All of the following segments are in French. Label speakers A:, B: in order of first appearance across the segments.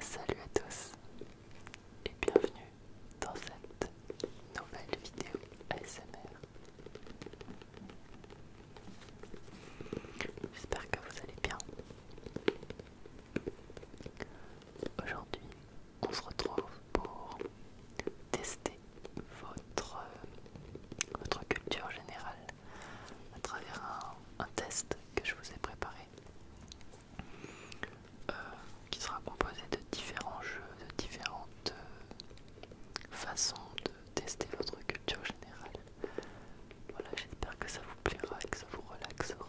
A: Salut à tous et bienvenue dans cette nouvelle vidéo ASMR. J'espère que vous allez bien. Aujourd'hui, on se retrouve pour tester votre, votre culture générale à travers un, test que je vous ai préparé euh, qui sera composé de différents jeux, de différentes euh, façons de tester votre culture générale. Voilà, j'espère que ça vous plaira et que ça vous relaxera.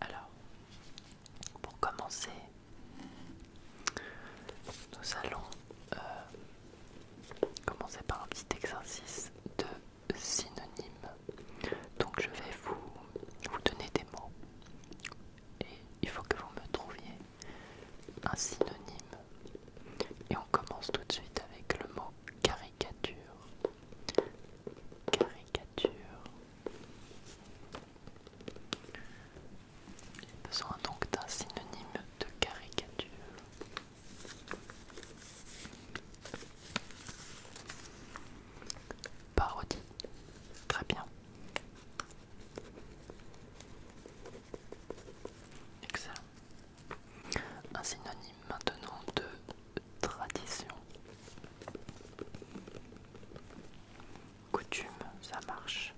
A: Alors, pour commencer, nous allons euh, commencer par un petit exercice de synonyme. Donc, je vais vous donner des mots et il faut que vous me trouviez un synonyme. Et on commence tout de suite avec le mot caricature caricature. J'ai besoin donc d'un synonyme de caricature. Parodie. Très bien. Excellent. Un synonyme maintenant de tradition. Coutume, ça marche.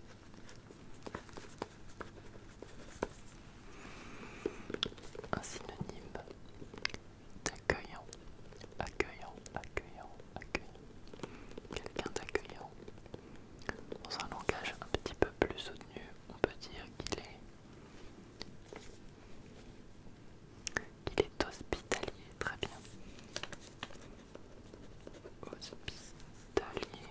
A: Un synonyme d'accueillant, accueillant, accueillant, accueillant. Quelqu'un d'accueillant. Dans un langage un petit peu plus soutenu, on peut dire qu'il est il est hospitalier, très bien. Hospitalier.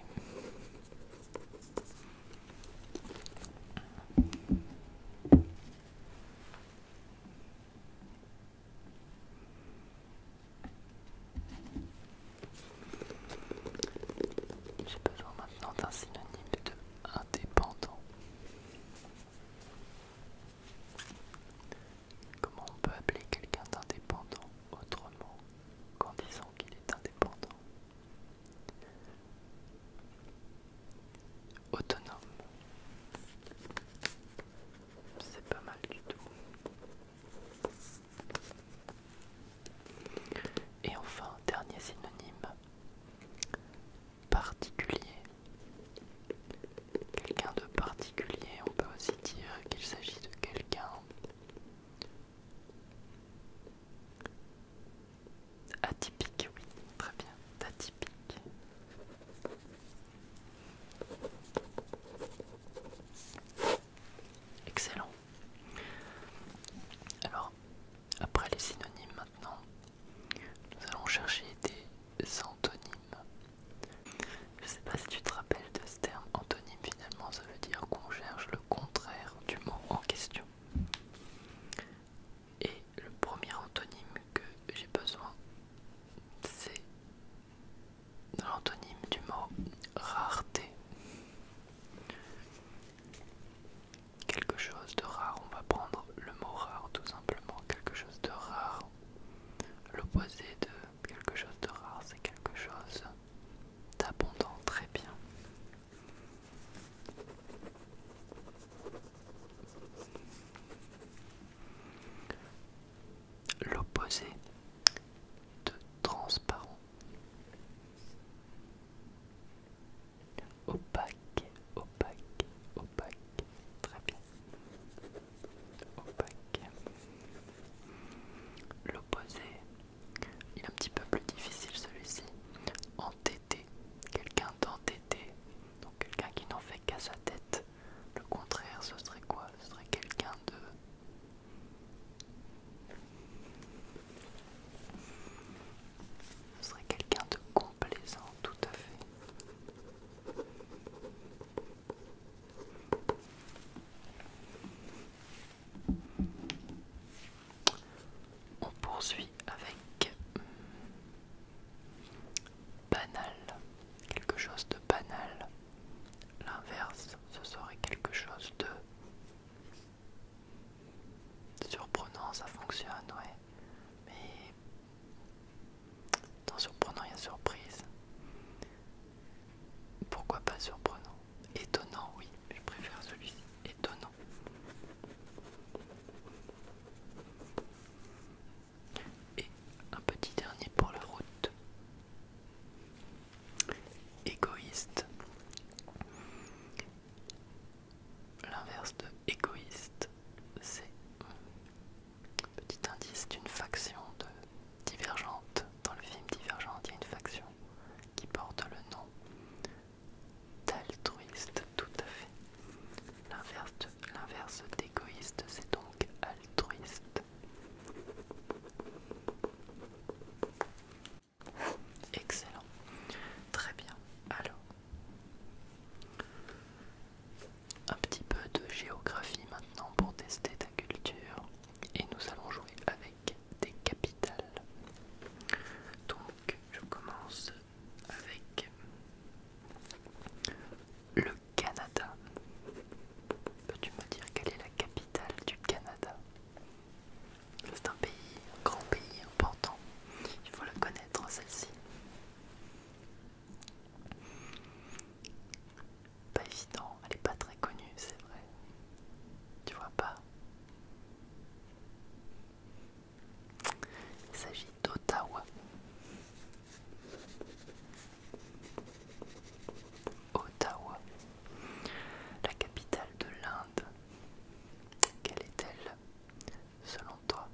A: J'ai besoin maintenant d'un synonyme de indépendant. Comment on peut appeler quelqu'un d'indépendant autrement qu'en disant qu'il est indépendant Autonome. C'est pas mal du tout. Et enfin, dernier synonyme, particulier. Quelqu'un de particulier, on peut aussi dire qu'il s'agit de quelqu'un atypique, oui, très bien, atypique. Excellent. Alors, après les synonymes maintenant, nous allons chercher des antonymes. Je ne sais pas si tu te rappelles de ce terme antonyme, finalement ça veut dire qu'on cherche le contraire du mot en question. Et le premier antonyme que j'ai besoin, c'est l'antonyme du mot rareté. Quelque chose de rare, on va prendre le mot rare tout simplement, quelque chose de rare, L'opposé de quelque chose de rare, c'est quelque chose d'abondant, très bien. L'opposé de transparent. Opaque opaque, opaque, très bien. Opaque. L'opposé, il est un petit peu plus difficile celui-ci. Entêté, quelqu'un d'entêté, donc quelqu'un qui n'en fait qu'à sa tête. Le contraire, ce serait quoi Ce serait quelqu'un de... Ce serait quelqu'un de complaisant, tout à fait. On poursuit avec hmm, banal, quelque chose de banal. L'inverse, ce serait quelque chose de surprenant, ça fonctionne, ouais mais Tant surprenant il y a surprise. Pourquoi pas surprenant Étonnant, oui, je préfère celui-ci. Étonnant. Et un petit dernier pour la route. Égoïste. L'inverse de égoïste, c'est Petit indice d'une faction de Divergente. Dans le film Divergente, il y a une faction qui porte le nom d'altruiste, tout à fait. L'inverse d'égoïste, c'est donc altruiste. Excellent. Très bien. Alors, un petit peu de géographie maintenant pour tester ta culture et nous allons jouer avec des capitales. Donc je commence avec le Canada. Peux-tu me dire quelle est la capitale du Canada C'est un pays, un grand pays important. Il faut la connaître celle-ci. Pas évident, elle n'est pas très connue, c'est vrai. Tu vois pas Il s'agit d'Ottawa. Ottawa, la capitale de l'Inde. Quelle est-elle selon toi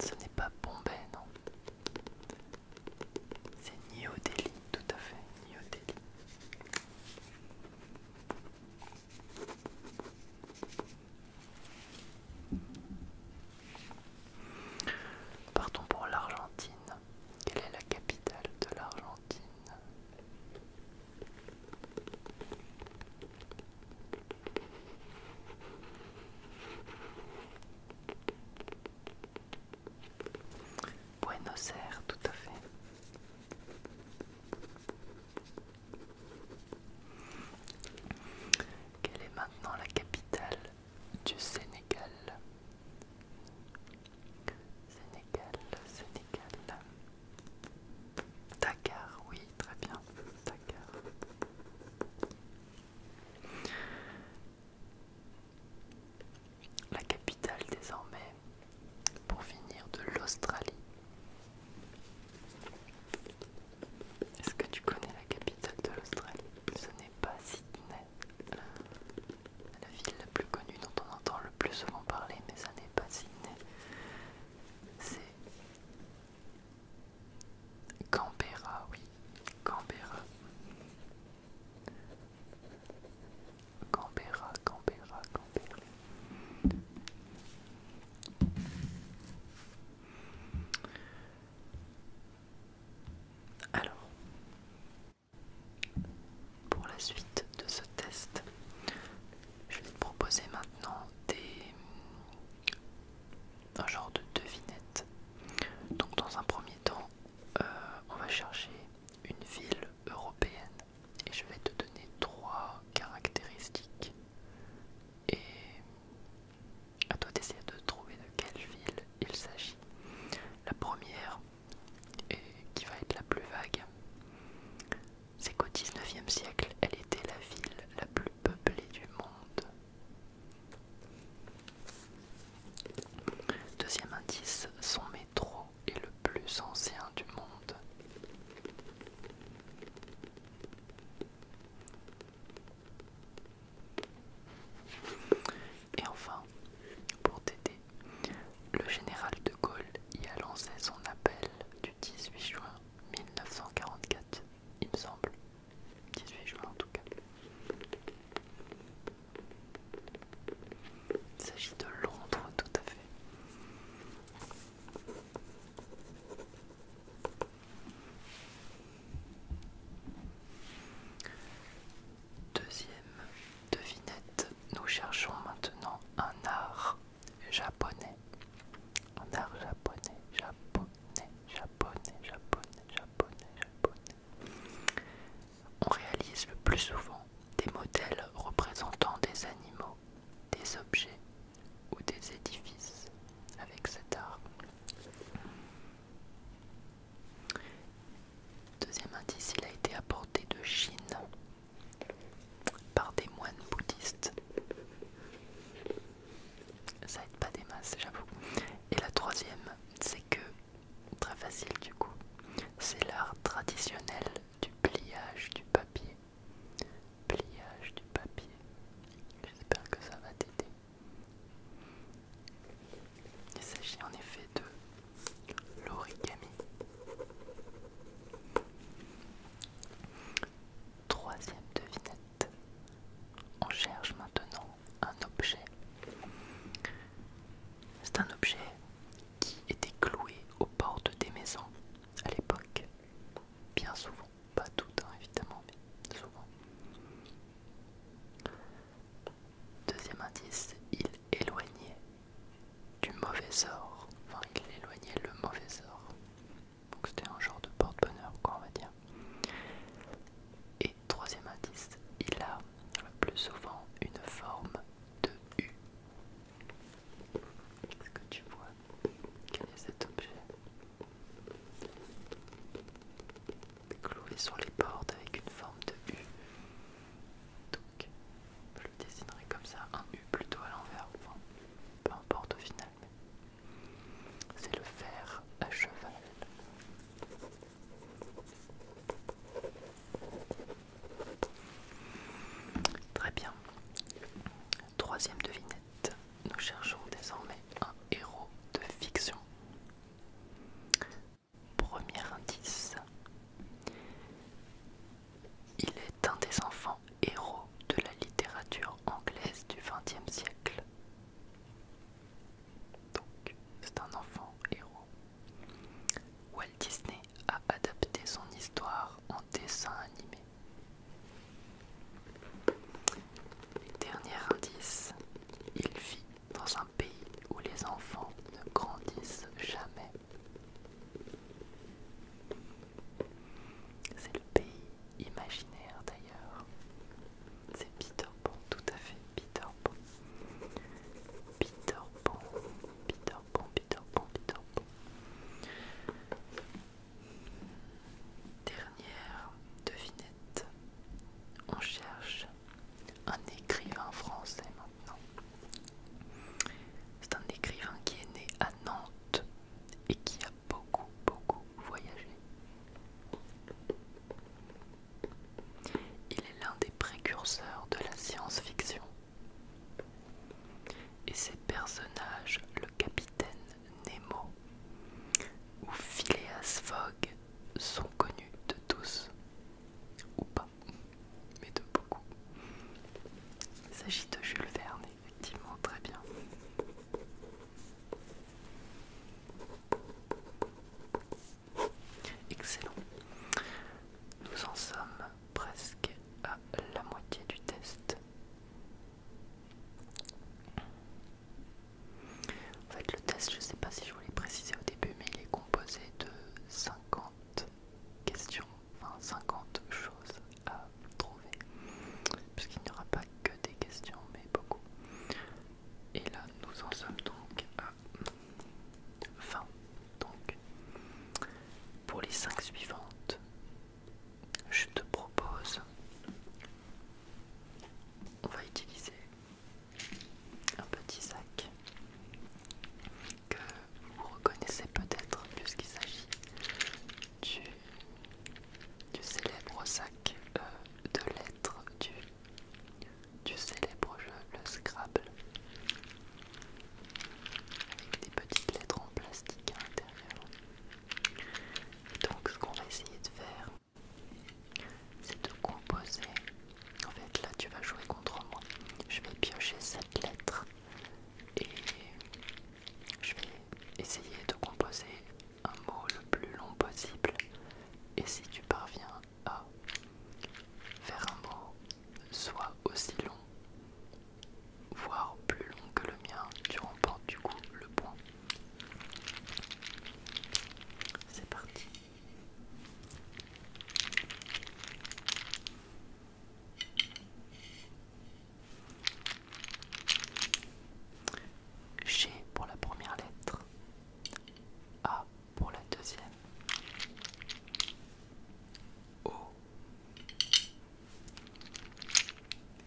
A: ce n'est pas Bombay, non. C'est New Delhi, tout à fait, New Delhi. Partons pour l'Argentine. Quelle est la capitale de l'Argentine Buenos Aires, tout à fait. Quelle est maintenant la capitale du Sénégal Sénégal, Sénégal. Dakar, oui, très bien. Dakar. La capitale désormais, pour finir, de l'Australie. Est-ce que tu connais la capitale de l'Australie Ce n'est pas Sydney. La ville la plus connue dont on entend le plus souvent parler, mais ça n'est pas Sydney c'est campera oui, Canberra. Canberra, Canberra, Canberra. Alors, pour la suite de ce test, je vais te proposer maintenant des... un genre de devinette. Donc dans un premier temps, euh, on va chercher une ville européenne et je vais te donner trois caractéristiques. Et à toi d'essayer de trouver de quelle ville il s'agit. La première, et qui va être la plus vague, c'est qu'au XIXe siècle, elle était la ville la plus peuplée du monde. Deuxième indice, son métro est le plus ancien du monde. Et enfin, pour t'aider, le général de Gaulle y a lancé son appel du 18 juin 1944, il me semble. 18 juin en tout cas. Il s'agit de Londres, tout à fait. Deuxième devinette, nous cherchons maintenant un art japonais, en art japonais, japonais, japonais, japonais, japonais, japonais. On réalise le plus souvent des modèles représentant des animaux, des objets ou des édifices avec cet art. Deuxième indice, il a été apporté de Chine par des moines bouddhistes. Ça aide pas des masses, j'avoue. Et la troisième, c'est que, très facile du coup, c'est l'art traditionnel du pliage du papier. Pliage du papier. J'espère que ça va t'aider. Il s'agit en effet de l'origami. Troisième devinette. On cherche maintenant un objet. C'est un objet qui était cloué aux portes des maisons à l'époque. Bien souvent, pas tout le temps évidemment, mais souvent. Deuxième indice, il éloignait du mauvais sort. Enfin, il éloignait le mauvais sort. Donc c'était un genre de porte-bonheur, quoi, on va dire. Et troisième artiste, il a le plus souvent une forme de U. Est-ce que tu vois quel est cet objet Cloué sur les portes avec une forme de U. Donc, je le dessinerai comme ça, un U plutôt à l'envers peu importe au final. C'est le fer à cheval. Très bien. Troisième devinette. Nous cherchons désormais un héros de fiction. Premier indice. Il est un des enfants héros de la littérature anglaise du XXe siècle. Donc, c'est un enfant héros. Walt Disney a adapté son histoire en dessin animé. Dernier indice, il vit dans un pays où les enfants ne grandissent jamais pays imaginaire d'ailleurs. C'est Peter Bon tout à fait Peter Bon. Peter Bon, Peter Dernière devinette. On cherche un écrivain français maintenant. C'est un écrivain qui est né à Nantes et qui a beaucoup, beaucoup voyagé. Il est l'un des précurseurs de la science-fiction. Et ses personnages, le capitaine Nemo ou Phileas Fogg, sont connus de tous. Ou pas, mais de beaucoup. Il s'agit de Jules Verne effectivement très bien. Excellent. Nous en sommes presque à la moitié du test. En fait, le test, je ne sais pas si je voulais l'ai précisé au début, mais il est composé de 50 questions enfin 50 choses à trouver, puisqu'il n'y aura pas que des questions, mais beaucoup. Et là, nous en sommes donc à fin Donc, pour les 5 suivantes, je te propose, on va utiliser un petit sac que vous reconnaissez peut-être puisqu'il s'agit du, célèbre sac euh, de lettres du, célèbre jeu, le Scrabble, avec des petites lettres en plastique à l'intérieur. donc, ce qu'on va essayer de faire, c'est de composer. En fait, là, tu vas jouer contre moi. Je vais piocher cette lettre et je vais essayer de composer un mot le plus long possible et si tu parviens à faire un mot soit aussi long, voire plus long que le mien, tu remportes du coup le point. C'est parti. G pour la première lettre, A pour la deuxième, O,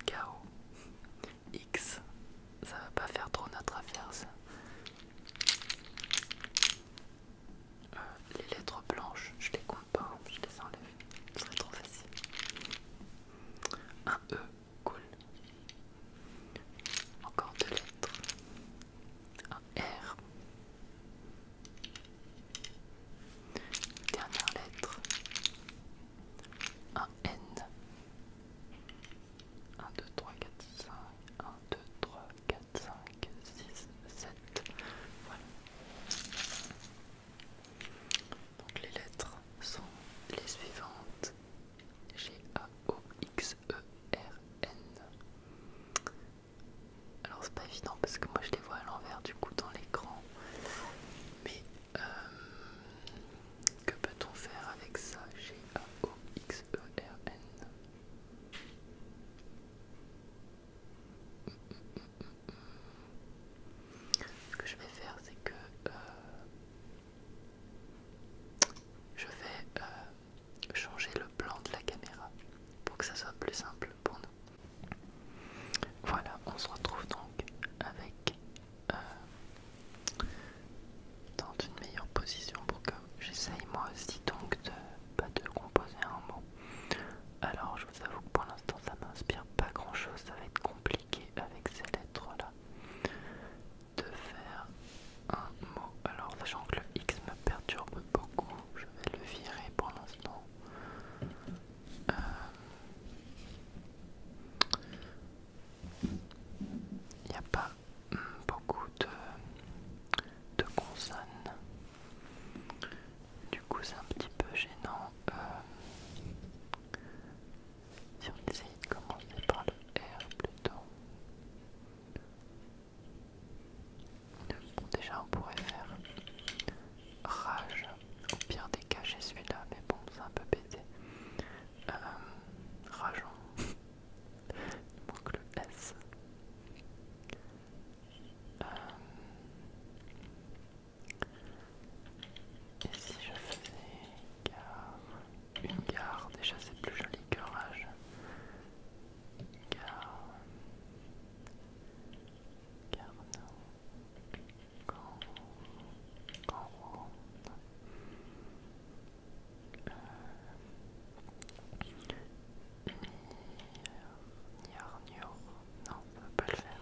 A: KO, X, ça va pas faire trop notre affaire ça. Euh, les lettres blanches, je les quoi? compte je les enlève, ce serait trop facile. Un E, cool. Encore deux lettres. Un R. Dernière lettre. Un N. 1, 2, 3, 4, 5. 1, 2, 3, 4, 5, 6, 7. Voilà. Donc les lettres sont les suivantes G A O X E R N. Alors c'est pas évident parce que moi je les vois à l'envers du coup dans l'écran. Mais euh, que peut-on faire avec ça G A O X E R N ce que je vais faire c'est que euh, je vais euh, changer le plan de la caméra pour que ça soit plus simple pour nous voilà on se retrouve donc avec euh, dans une meilleure position pour que j'essaye moi aussi donc de pas bah, de composer un mot alors, je vous avoue que pour l'instant, ça m'inspire pas grand chose. Ça va être compliqué avec ces lettres-là de faire un mot. Alors, sachant que le X me perturbe beaucoup, je vais le virer pour l'instant. Il euh, n'y a pas hmm, beaucoup de consonnes. Du coup, c'est un petit peu gênant euh, si on essaye de commencer par le R plutôt. déjà, on pourrait faire rage. Au pire des cas, j'ai celui-là, mais bon, c'est un peu pété. rageant. Il manque le S. Euh, et si je fais une gare, déjà c'est plus joli que rage. Gare, non. Euh, non, on peut pas le faire,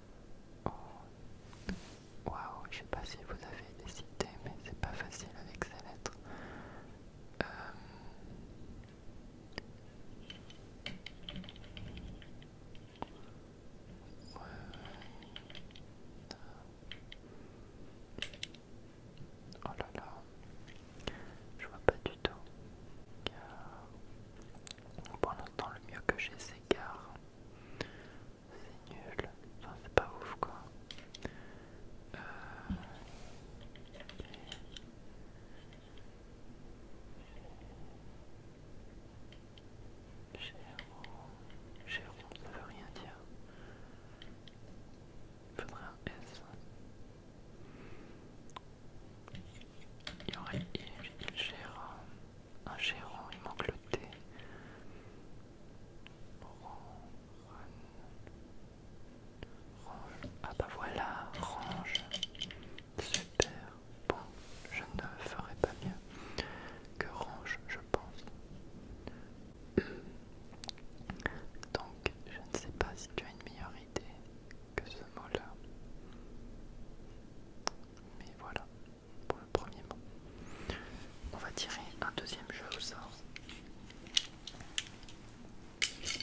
A: Oh. Waouh, je sais pas si vous avez des idées, mais c'est pas facile avec ces lettres. Euh. Oh là là, je vois pas du tout. Car... Pour l'instant, le mieux que j'ai, c'est car c'est nul. Enfin, c'est pas ouf quoi. Euh... ça veut rien dire. Il faudrait un S. Il y aurait I, un gérant, il manque le thé. Ah bah voilà, range. Super. Bon, je ne ferai pas mieux que range, je pense. Donc, je ne sais pas si tu as une meilleure idée que ce mot-là. Mais voilà, pour le premier mot. On va tirer un deuxième jeu au sort. Je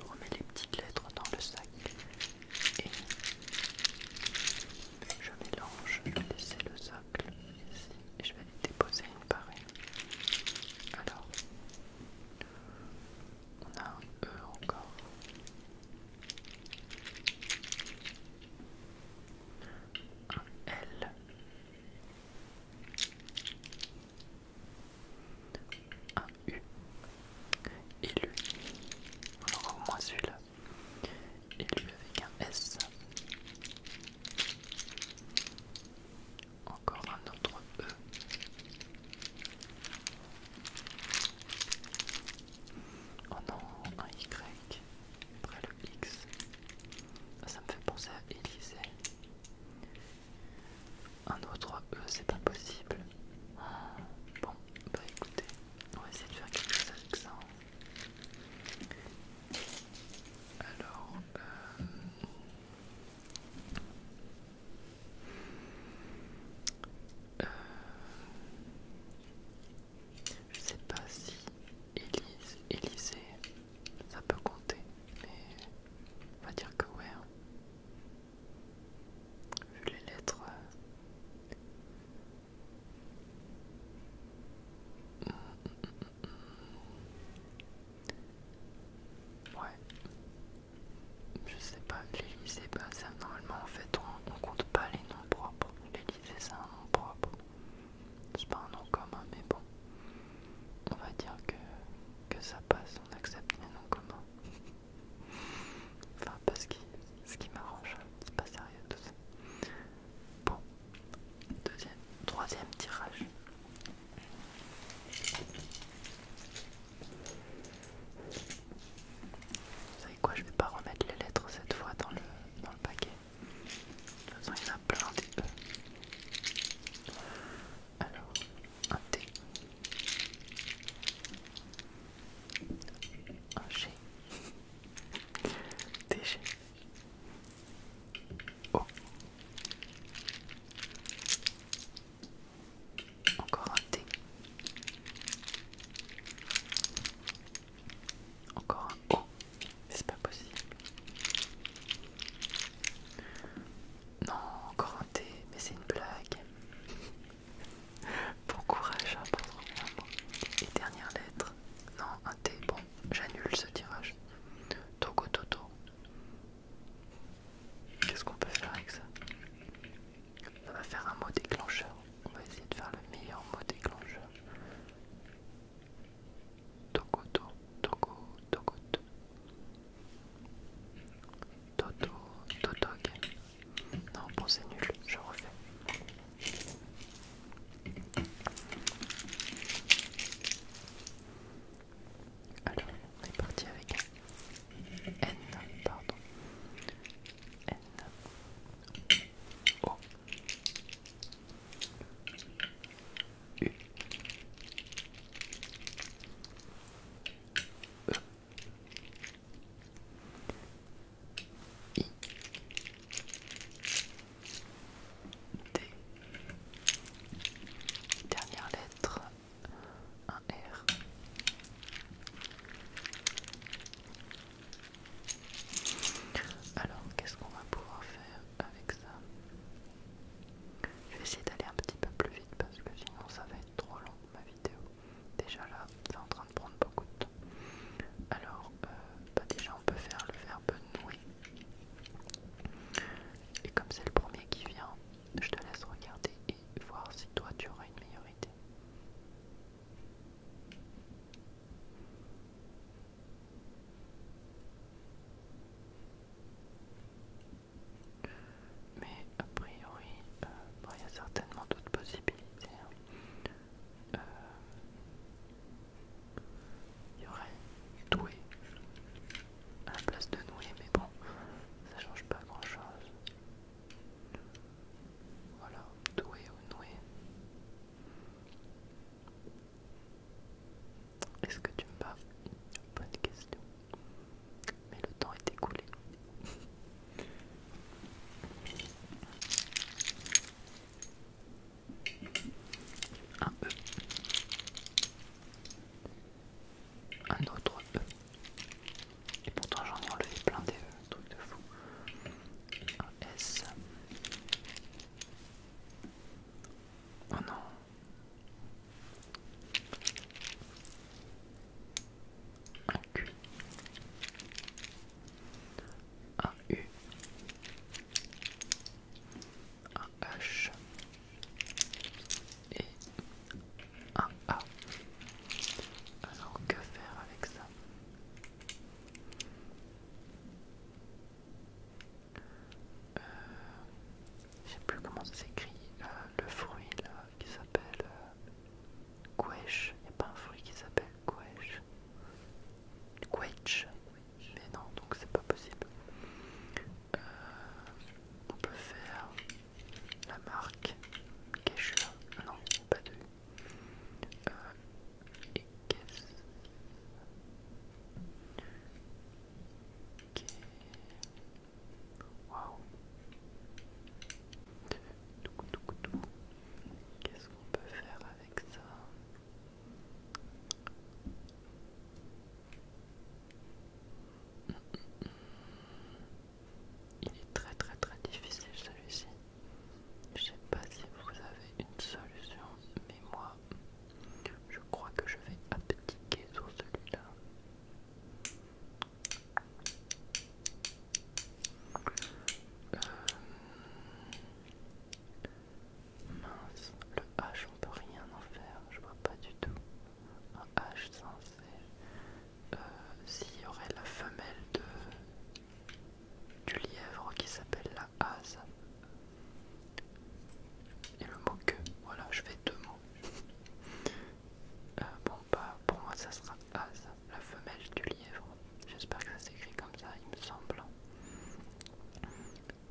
A: remets les petites lettres dans le sac et je mélange, je vais laisser le sac ici et je vais déposer une par une. Alors, on a un E encore. Un L. Un U. Et lui. On aura moins celui-là. Et lui avec un S encore un autre E. Oh non, un Y, après le X. Ah, ça me fait penser à Élysée. Un autre E, c'est pas possible. Bon, bah écoutez, on va essayer de faire quelque chose avec ça. Hein. Alors, euh, euh, je sais pas si Élise, Élysée, ça peut compter, mais on va dire que ouais. Hein. Vu les lettres. Euh, ouais, je sais pas, sais pas. Bah, ça, normalement en fait on, compte pas les noms propres. L'Elysée c'est un nom propre. C'est pas un nom commun mais bon. On va dire que, que ça passe, on accepte les noms communs. enfin parce ce qui m'arrange, hein, c'est pas sérieux tout ça. Bon, deuxième, troisième tirage. Vous savez quoi, je vais pas remettre les lettres cette fois dans le, paquet. De toute façon, il y en a plein Alors, un T. Un G. Encore un T. Encore un O, Mais c'est pas possible. Non, encore un T, Mais c'est une blague. Bon courage à hein, prendre Et dernière lettre. Non, un T. Bon, j'annule ce tirage. Togo Toto, Qu'est-ce qu'on peut faire avec ça On va faire un mot déclencheur. On va essayer de faire le meilleur mot déclencheur. Tokoto, toko, to, Toto, totog. Non, bon, c'est nul, je refais. Alors, on est parti avec N, pardon. N. O. U. E. I. D. Dernière lettre un R. Alors, qu'est-ce qu'on va pouvoir faire avec ça Je vais essayer d'aller un petit peu plus vite parce que sinon ça va être trop long ma vidéo. Déjà là, c'est en train de prendre beaucoup de temps. Alors, euh, bah déjà on peut faire le verbe nouer. Et comme c'est le premier qui vient, je te laisse regarder et voir si toi tu auras une meilleure idée. Mais a priori, euh, il y a certainement d'autres possibilités. Hein. Euh, il y aurait doué, à la place de nouer », mais bon, ça change pas grand chose. Voilà, doué ou noué. Est-ce que tu me bats Bonne question. Mais le temps est écoulé. Un E. Un autre E. Et pourtant j'en ai enlevé plein des euh, trucs de fou. Un S. Oh non. Un Q. Un U. Un H et un ah, A. Ah. Alors que faire avec ça euh, Je sais plus comment ça s'écrit. Euh, le fruit là, qui s'appelle euh, Il n'y a pas un fruit qui s'appelle quech. Mais non, donc c'est pas possible. Euh, on peut faire la marque cachure, non, pas de euh, et caisse. Qu'est-ce qu'on peut faire avec ça? Il est très très très difficile celui-ci. Je sais pas si vous avez une solution, mais moi, je crois que je vais abdiquer sur celui-là. Euh, mince, le H, on peut rien en faire, je vois pas du tout un h sensé. Euh, s'il y aurait la femelle de, du lièvre qui s'appelle la as Et le mot que, voilà, je fais deux mots. Euh, bon, pas bah, pour moi, ça sera hase, la femelle du lièvre. J'espère que ça s'écrit comme ça, il me semble.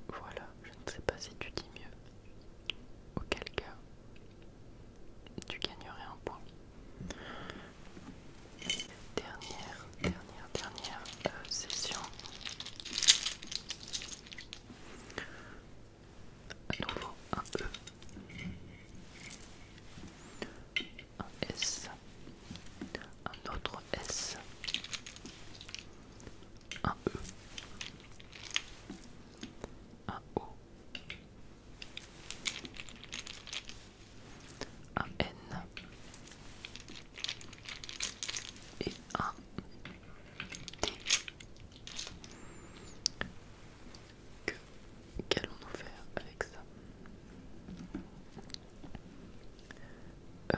A: Voilà, je ne sais pas si tu dis mieux. Auquel cas, tu gagnerais un point. Dernière, dernière, dernière euh, session. À nouveau un E, un S, un autre S, un E, un O, un N et un T. qu'allons-nous faire avec ça euh,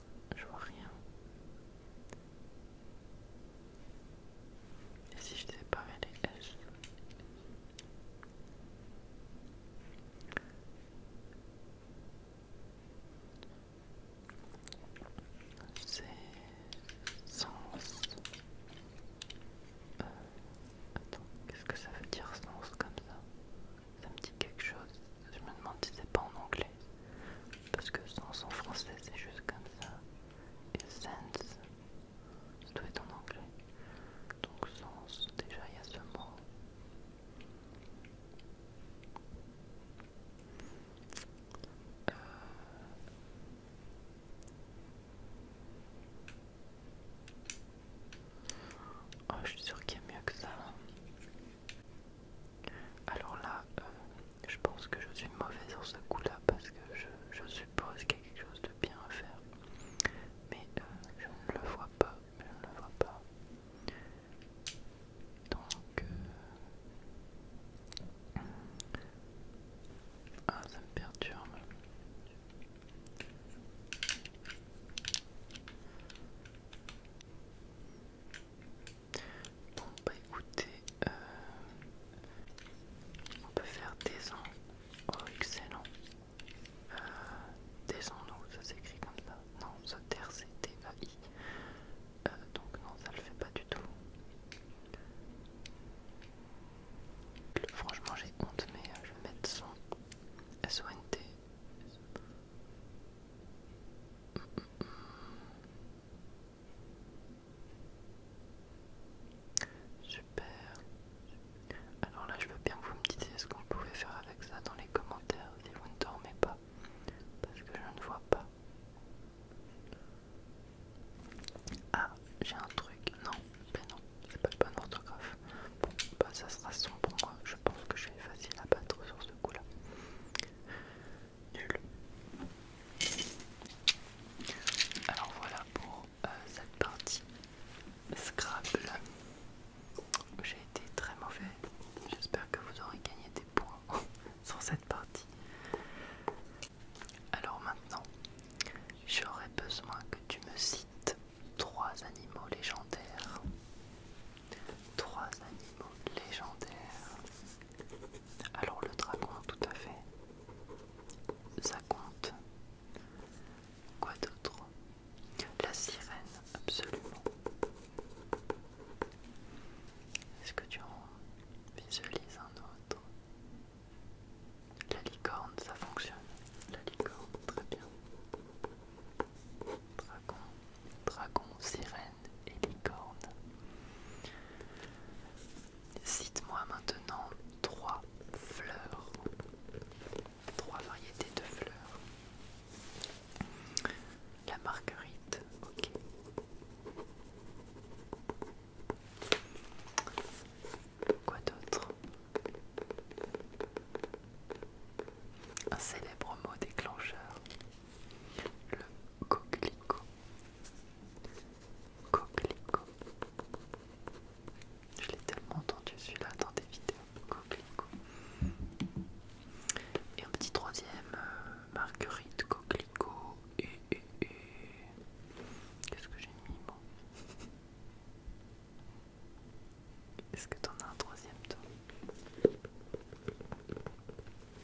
A: Je vois rien. Et si je t'avais pas les S C'est sens. Euh, attends, qu'est-ce que ça veut dire sens comme ça Ça me dit quelque chose. Je me demande si c'est pas en anglais. Parce que «sens» en français, c'est juste comme ça. Et sense, ça doit être en anglais. Donc sens, déjà il y a ce mot. Euh. Oh, je suis sûre qu'il y a mieux que ça. Alors là, euh, je pense que je suis mauvais sur ce coup-là parce que je, suppose qu'il y a quelque chose de bien à faire. Mais euh, je ne le vois pas, je ne le vois pas. Donc... Euh, ah, ça me perturbe. Bon bah écoutez, euh, on peut faire des ans. Oh excellent. Euh, des ans, ça s'écrit comme ça. Non, ça terre c'est T-A-I. Euh, donc non, ça le fait pas du tout. Franchement j'ai honte mais je vais mettre son S-O-N-T. Super. Alors là, je veux bien que vous me disiez ce qu'on pouvait faire avec ça dans les commentaires si vous ne dormez pas. Parce que je ne vois pas. Ah, j'ai un truc. Non, ben non, c'est pas le bon orthographe. Bon, bah ça sera son pour moi. Je pense que je vais facile à battre sur ce coup-là nul. Alors voilà pour euh, cette partie Scrabble. J'ai été très mauvais. J'espère que vous aurez gagné des points sur cette partie. Alors maintenant, j'aurais besoin que tu me cites trois animaux légendaires. Trois animaux légendaires. Alors le dragon, tout à fait. Ça compte. Quoi d'autre La sirène, absolument. Est-ce que tu en visualises un autre La licorne, ça fonctionne. La licorne, très bien. Dragon, dragon, sirène et les cornes. Cite-moi maintenant trois fleurs, trois variétés de fleurs. La marguerite, ok. Quoi d'autre Un célèbre mot déclencheur, le coquelicot, coquelicot. Je l'ai tellement entendu celui-là dans des vidéos, coquelicot. Et un petit troisième, euh, marguerite, coquelicot et... et, et... Qu'est-ce que j'ai mis bon. Est-ce que t'en as un troisième toi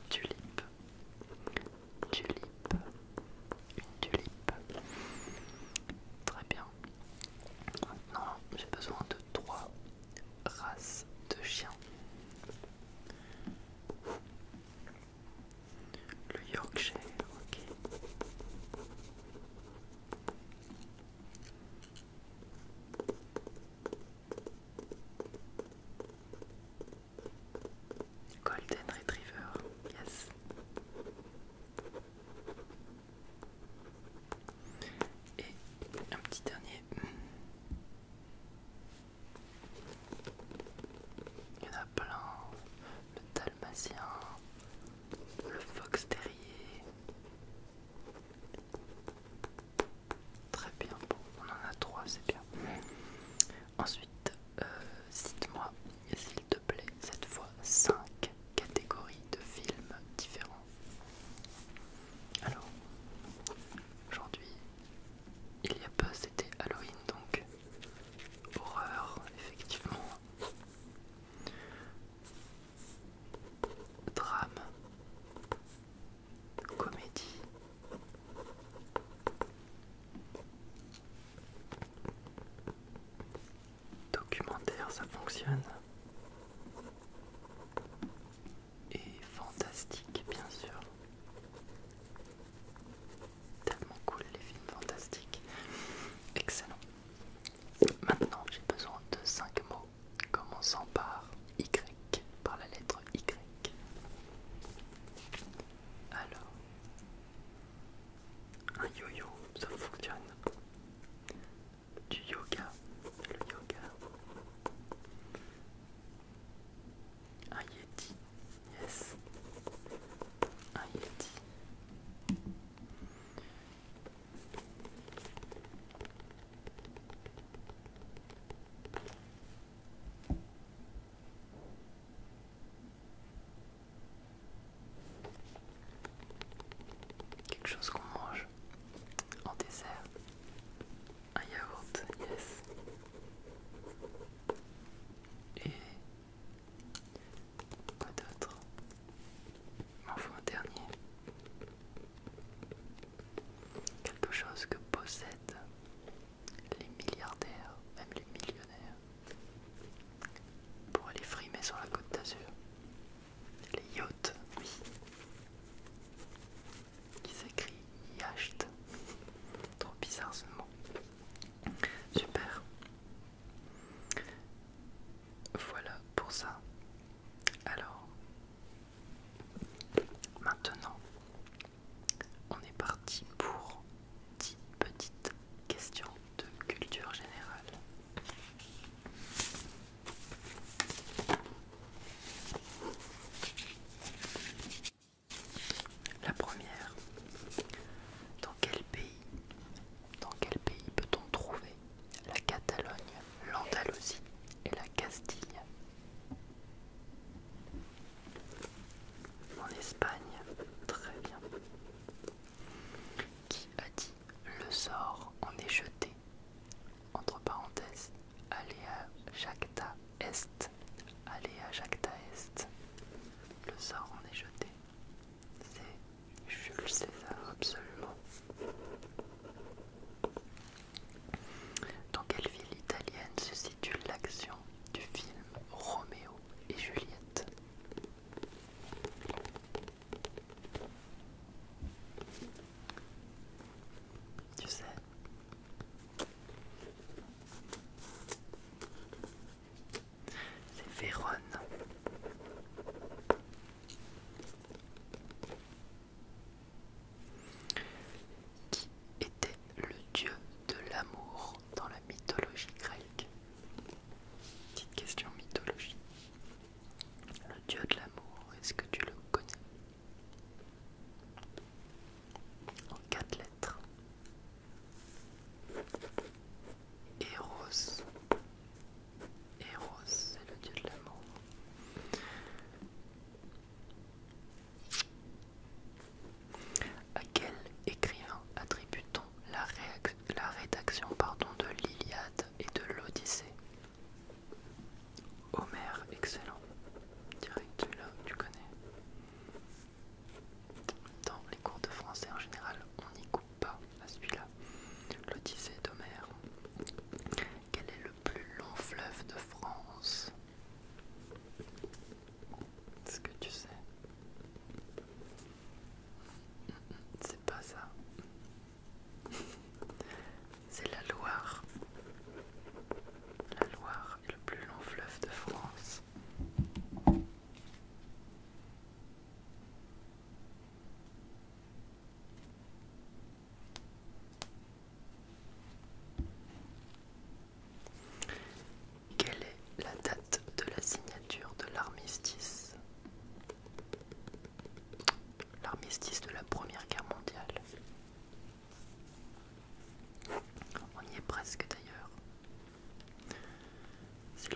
A: Tulipe. Tulipe. Une tulipe. Très bien. Maintenant, j'ai besoin de trois races de chiens. Le Yorkshire, ok. Golden Retriever, yes. Et un petit dernier. Il y en a plein. Le dalmatien, le fox terrier. Très bien, bon, on en a trois, c'est bien. Ensuite, euh, cite-moi, s'il te plaît, cette fois 5 catégories de films différents. Alors, aujourd'hui, il y a peu c'était Halloween, donc horreur, effectivement. Drame, comédie. Documentaire, ça fonctionne. Et fantastique, bien sûr. Tellement cool les films fantastiques. Excellent. Maintenant, j'ai besoin de 5 mots commençant par Y, par la lettre Y. Alors, un yo-yo, ça fonctionne. Du yoga, le yoga. Un yeti, yes. Un yeti. Quelque chose qu'on mange en dessert. Un yaourt, yes. Et quoi d'autre enfin un dernier. Quelque chose que possède les milliardaires, même les millionnaires, pour aller frimer sur la côte d'Azur. Les yachts, oui, qui s'écrit yacht. Trop bizarre ce mot. Super. Voilà pour ça. Alors, maintenant, on est parti pour 10 petites questions de culture générale. La première. Dans quel pays, dans quel pays peut-on trouver la Catalogne, l'Andalousie et la Castille en Espagne, très bien. Qui a dit le sort en est jeté Entre parenthèses, Aléa Jacta Est. à Jacta Est. Le sort en est jeté. C'est Jules César, absolument. Dans quelle ville italienne se situe l'action du film Roméo et Juliette. Tu sais, c'est Vérone. Qui était le dieu de l'amour dans la mythologie grecque Petite question mythologie. Le dieu de l'amour, est-ce que tu le connais En quatre lettres. Eros. Eros, c'est le dieu de l'amour. À quel écrivain attribue-t-on la, rédaction pardon, de l'Iliade et de l'Odyssée Homère, excellent. Direct, celui-là, tu connais. Dans les cours de français en général, on n'y coupe pas à celui-là. L'Odyssée d'Homère. Quel est le plus long fleuve de France ce que tu sais. C'est pas ça. C'est la Loire. La Loire est le plus long fleuve de France. Quelle est la date de la signature de l'armistice L'armistice de la Première Guerre mondiale. On y est presque d'ailleurs. C'est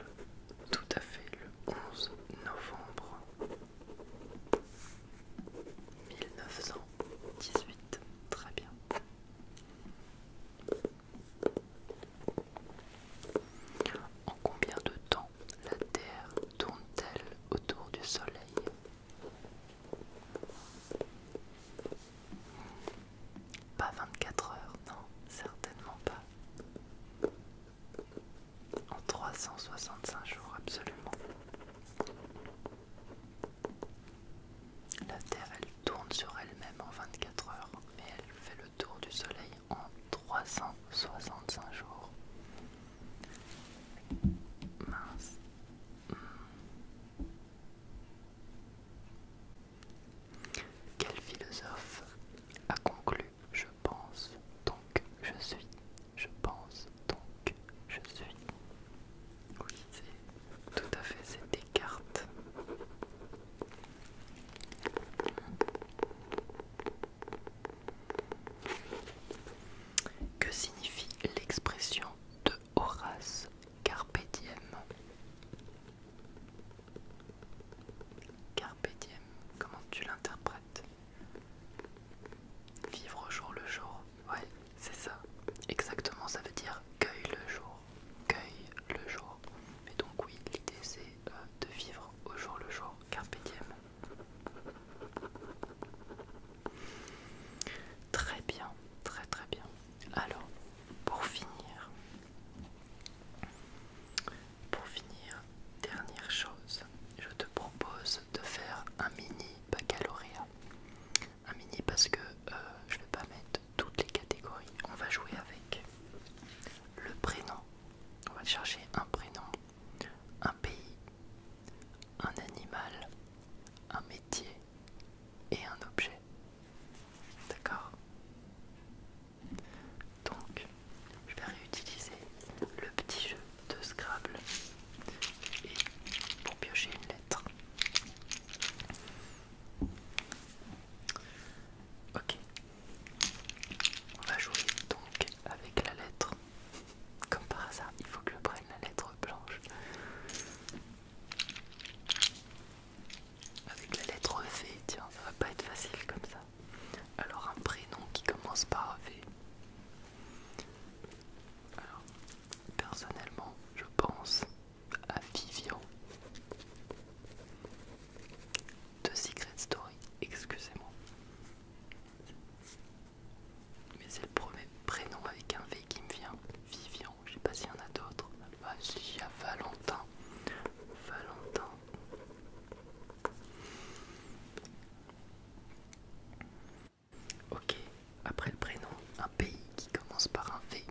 A: tout à fait le 11 novembre 1918. Très bien. En combien de temps la Terre tourne-t-elle autour du Soleil Pas 24 heures, non, certainement pas. En 365 jours, absolument. La Terre, elle tourne sur elle-même en 24 heures, mais elle fait le tour du Soleil en 365 jours. Mince. Hmm. Quel philosophe a conclu Je pense, donc je suis. Je pense, donc je suis. Tout à fait, c'est des cartes. Que signifie l'expression de Horace Carpe diem comment tu l'interprètes Vivre au jour le jour, ouais, c'est ça. Exactement, ça veut dire cueille le jour cueille le jour. Et donc oui, l'idée c'est euh, de vivre au jour le jour, carpe Très bien, très très bien. Alors, pour finir, pour finir, dernière chose, je te propose de faire un mini baccalauréat un mini parce que euh, je vais pas mettre toutes les catégories. On va jouer avec le prénom. On va chercher un prénom, un pays, un animal, un métier et un objet. D'accord Donc, je vais réutiliser le petit jeu de Scrabble et pour piocher une lettre. Ok, on va jouer donc avec la lettre. Comme par hasard, il faut que je prenne la lettre blanche. Avec la lettre V, tiens, ça va pas être facile comme ça. Alors un prénom qui commence par V. Alors, personnellement, je pense à Vivian de Secret Story, excusez-moi. Mais c'est le premier prénom avec un V qui me vient. Vivian, je sais pas s'il y en a d'autres. Ah si, y Valentin. Valentin. Ok, après le prénom, un pays qui commence par un V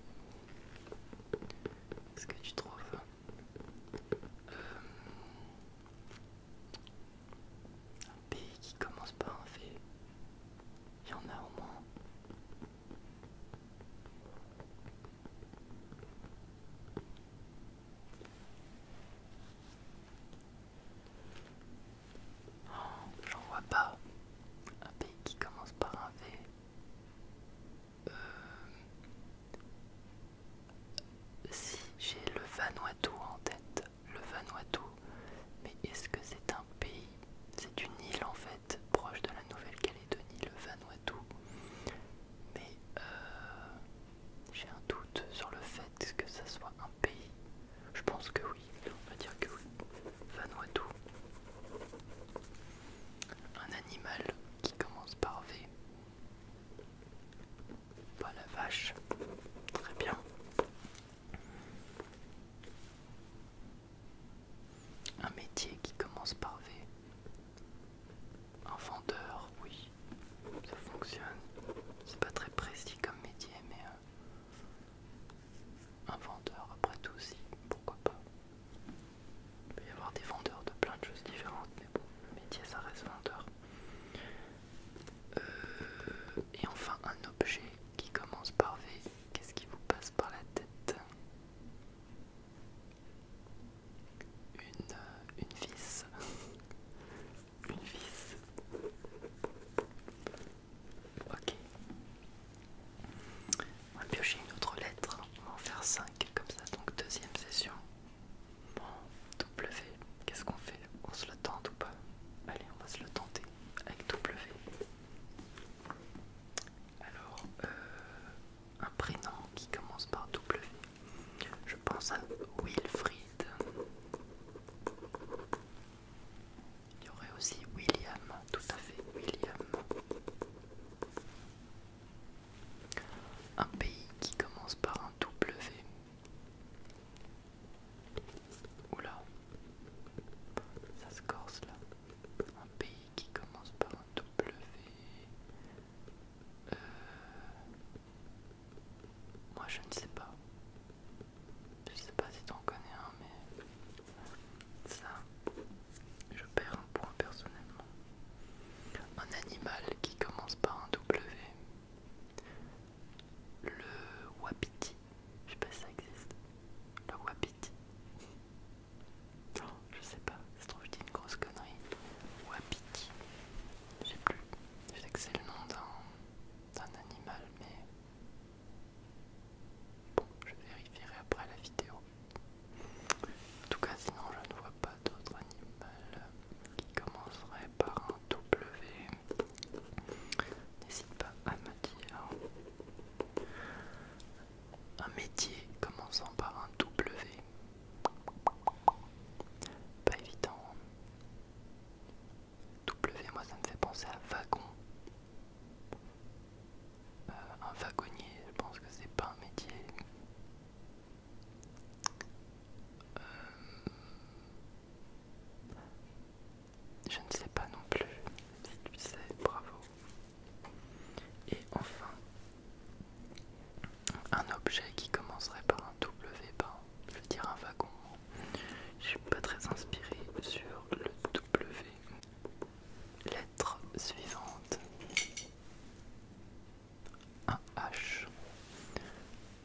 A: est ce que tu trouves hein euh, Un pays qui commence par un V. Il y en a au moins. Oh, j'en vois pas. Un pays qui commence par un V. Euh, si j'ai le Vanuatu en tête, le Vanuatu, mais est-ce que c'est un pays C'est une île en fait, proche de la Nouvelle-Calédonie, le Vanuatu. Mais euh, j'ai un doute sur le fait que ça soit un pays. Je pense que oui, on va dire que oui. Vanuatu. Un animal qui commence par V. Pas la vache. Très bien. Un métier qui commence par V. Un vendeur, oui, ça fonctionne. C'est pas très précis comme métier, mais euh, un vendeur après tout si, pourquoi pas. Il peut y avoir des vendeurs de plein de choses différentes, mais bon, le métier ça reste vendeur. Euh, et enfin un objet qui commence par V, qu'est-ce qui vous passe par la tête une, euh, une vis. une vis. Ok. On va piocher une autre lettre. On va en faire 5 comme ça. Donc deuxième session. Bon, W, qu'est-ce qu'on fait On se le tente ou pas Allez, on va se le tenter avec W. Alors, euh, un prénom qui commence par W. Je pense à Wilfried. Il y aurait aussi William, tout à fait William. Un pays qui commence par un W. Oula, ça se corse là. Un pays qui commence par un W. Euh, moi je ne sais pas. Je sais pas si tu en connais un, mais ça, je perds un point personnellement. Un animal qui commence par un W. Le wapiti. Je sais pas si ça existe. Le wapiti. Non, je sais pas. Ça se trouve, je dis une grosse connerie. Wapiti. Je sais plus. Je sais que c'est le nom d'un animal, mais Bon, je vérifierai après la vidéo. En tout cas, sinon, je ne vois pas d'autre animal qui commencerait par un W. N'hésite pas à me dire un métier commençant par un W. Pas évident. W, moi ça me fait penser à wagon. Euh, un wagonnier, je pense que c'est pas un métier. Euh, je ne sais pas non plus si tu sais, bravo. Et enfin, un objet qui commencerait par un W, je veux dire un wagon. Je suis pas très inspiré sur le W, Lettre suivante. Un H.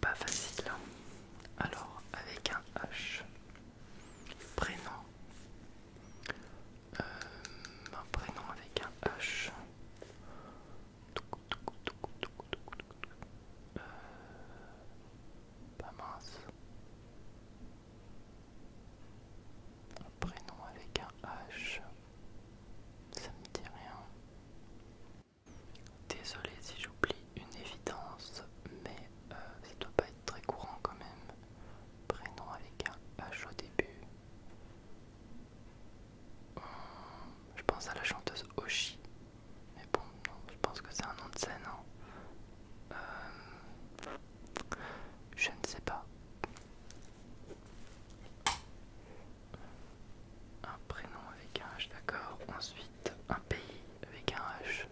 A: Pas facile. Hein. Alors, avec un H. Prénom. Euh, un prénom avec un H. Euh, pas mince prénom avec un H. Ça me dit rien. Désolé si j'oublie une évidence, mais euh, ça doit pas être très courant quand même. Prénom avec un H au début. Hmm, je pense à la chanteuse Oshi. Mais bon, non, je pense que c'est un nom de scène. Hein. Euh, je ne sais pas. Un prénom avec un H, d'accord. Ensuite, un pays avec un H.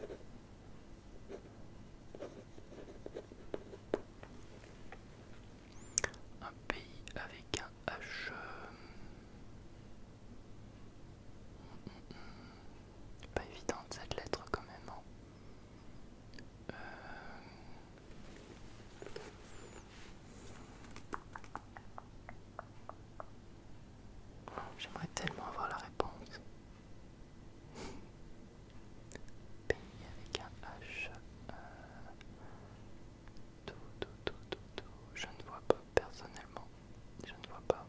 A: Un pays avec un H. Pas évidente cette lettre quand même. Hein. Euh, J'aimerais tellement avoir la réponse. Pays avec un H. tout, tout, tout. Je ne vois pas personnellement. Je ne vois pas.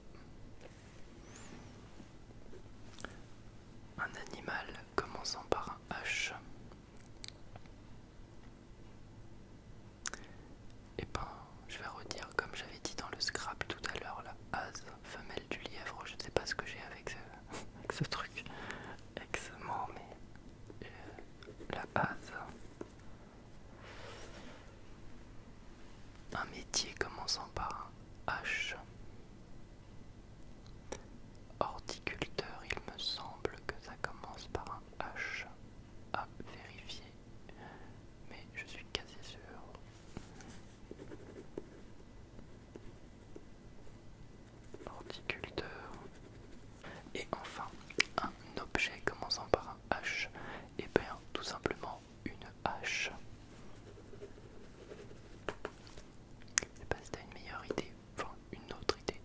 A: Un animal commençant par un H. Et eh ben, je vais redire comme j'avais dit dans le scrap tout à l'heure, la haze femelle du lièvre, je ne sais pas ce que j'ai avec, ce, truc, avec ce mais euh, la haze. Un métier commençant par un H. Horticulteur, il me semble que ça commence par un H à vérifier, mais je suis quasi sûr. Horticulteur. Et enfin, un objet commençant par un H, et eh bien tout simplement une H. Je sais pas si t'as une meilleure idée, enfin une autre idée.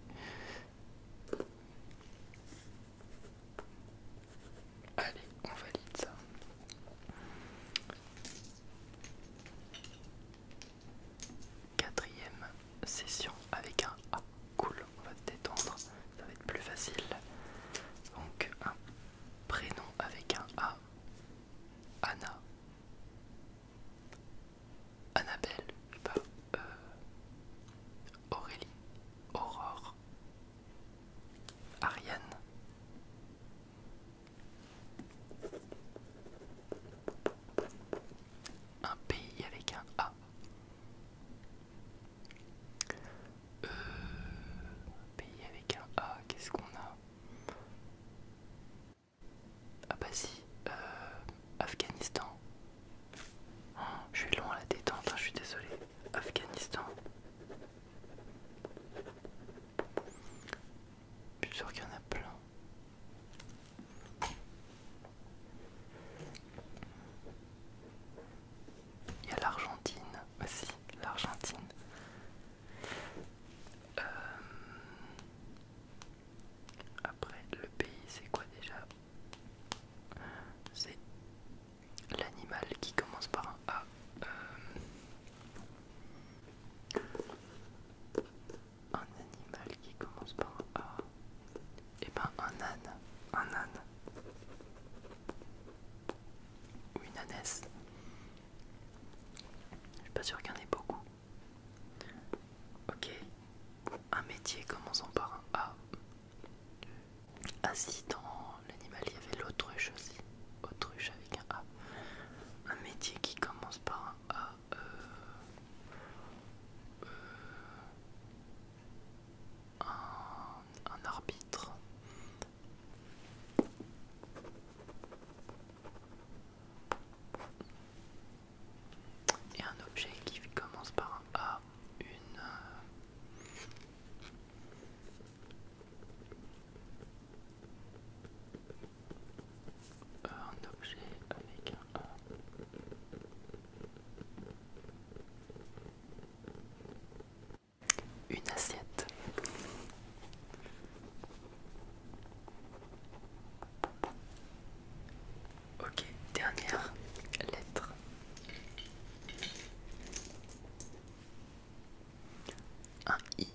A: Allez, on valide ça. Quatrième session avec un A. Cool, on va se détendre, ça va être plus facile. Donc un prénom avec un A. Anna. Annabelle, euh, Aurélie, Aurore, Ariane. Un pays avec un A. un euh, pays avec un A, qu'est-ce qu'on a ah bah si, euh, Afghanistan. Oh, je suis loin à la détente, hein, je suis désolé. Afghanistan. Je suis sûr qu'il y en a plein. Il y a l'Argentine aussi, bah l'Argentine. Euh, après, le pays, c'est quoi déjà C'est l'animal qui commence par un A. Euh, un animal qui commence par un A. Et ben un âne. Un âne. Ou une ânesse. Je suis pas sûr qu'il y en ait beaucoup. Ok, un métier, commençant par un A. si dans l'animal, il y avait l'autruche aussi. Autruche avec un A. Un métier qui commence par un A. Euh, euh, un arbitre. Et un objet qui commence par un A, une... Euh, objet avec un Une assiette. Ok, dernière lettre. Un I.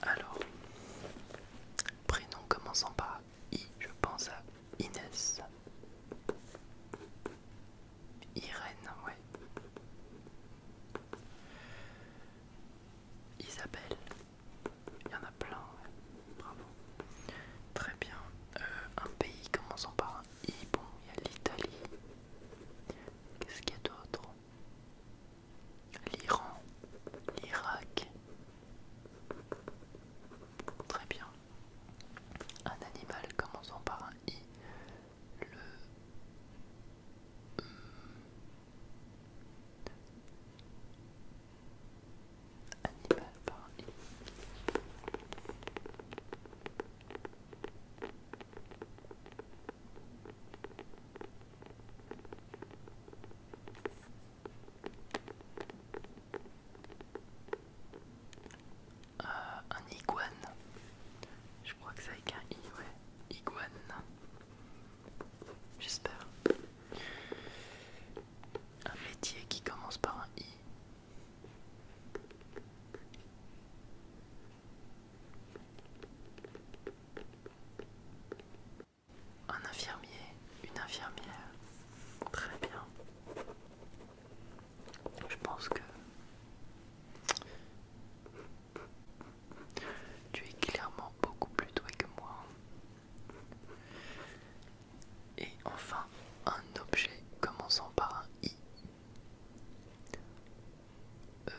A: Alors, prénom commençant par I, je pense à Inès. Irène, ouais. Isabelle, il y en a plein, bravo. Très bien, euh, un pays commençant par un I, bon, il y a l'Italie. Qu'est-ce qu'il y a d'autre L'Iran, l'Irak. Très bien. Un animal commençant par un I le... Euh, à un iguane. Je crois que c'est avec un i, ouais. Iguane. J'espère. Un métier qui commence par un i. Un infirmier, une infirmière. Très bien. Je pense que tu es clairement beaucoup plus doué que moi. Et enfin, un objet commençant par un I. Euh,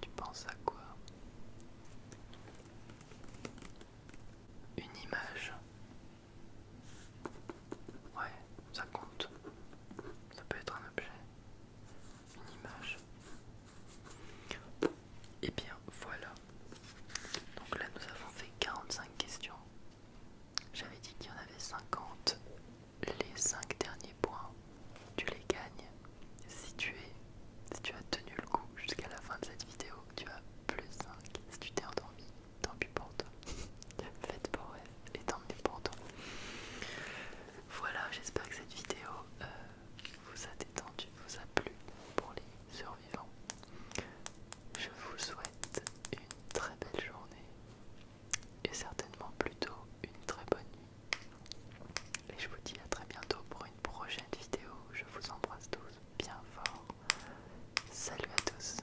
A: tu penses à quoi Une image Ouais, ça compte. Ça peut être un objet, une image. Et eh bien voilà. Donc là nous avons fait 45 questions. J'avais dit qu'il y en avait 50. Les 5 derniers points, tu les gagnes. Si tu, es, si tu as tenu le coup jusqu'à la fin de cette vidéo, tu as plus 5. Si tu t'es endormi, tant pis pour toi. Faites pour elle et tant mieux pour toi. Voilà, j'espère que cette vidéo euh, vous a détendu, vous a plu pour les survivants. Je vous souhaite une très belle journée et certainement plutôt une très bonne nuit. Et je vous dis à très bientôt pour une prochaine vidéo. Je vous embrasse tous bien fort. Salut à tous.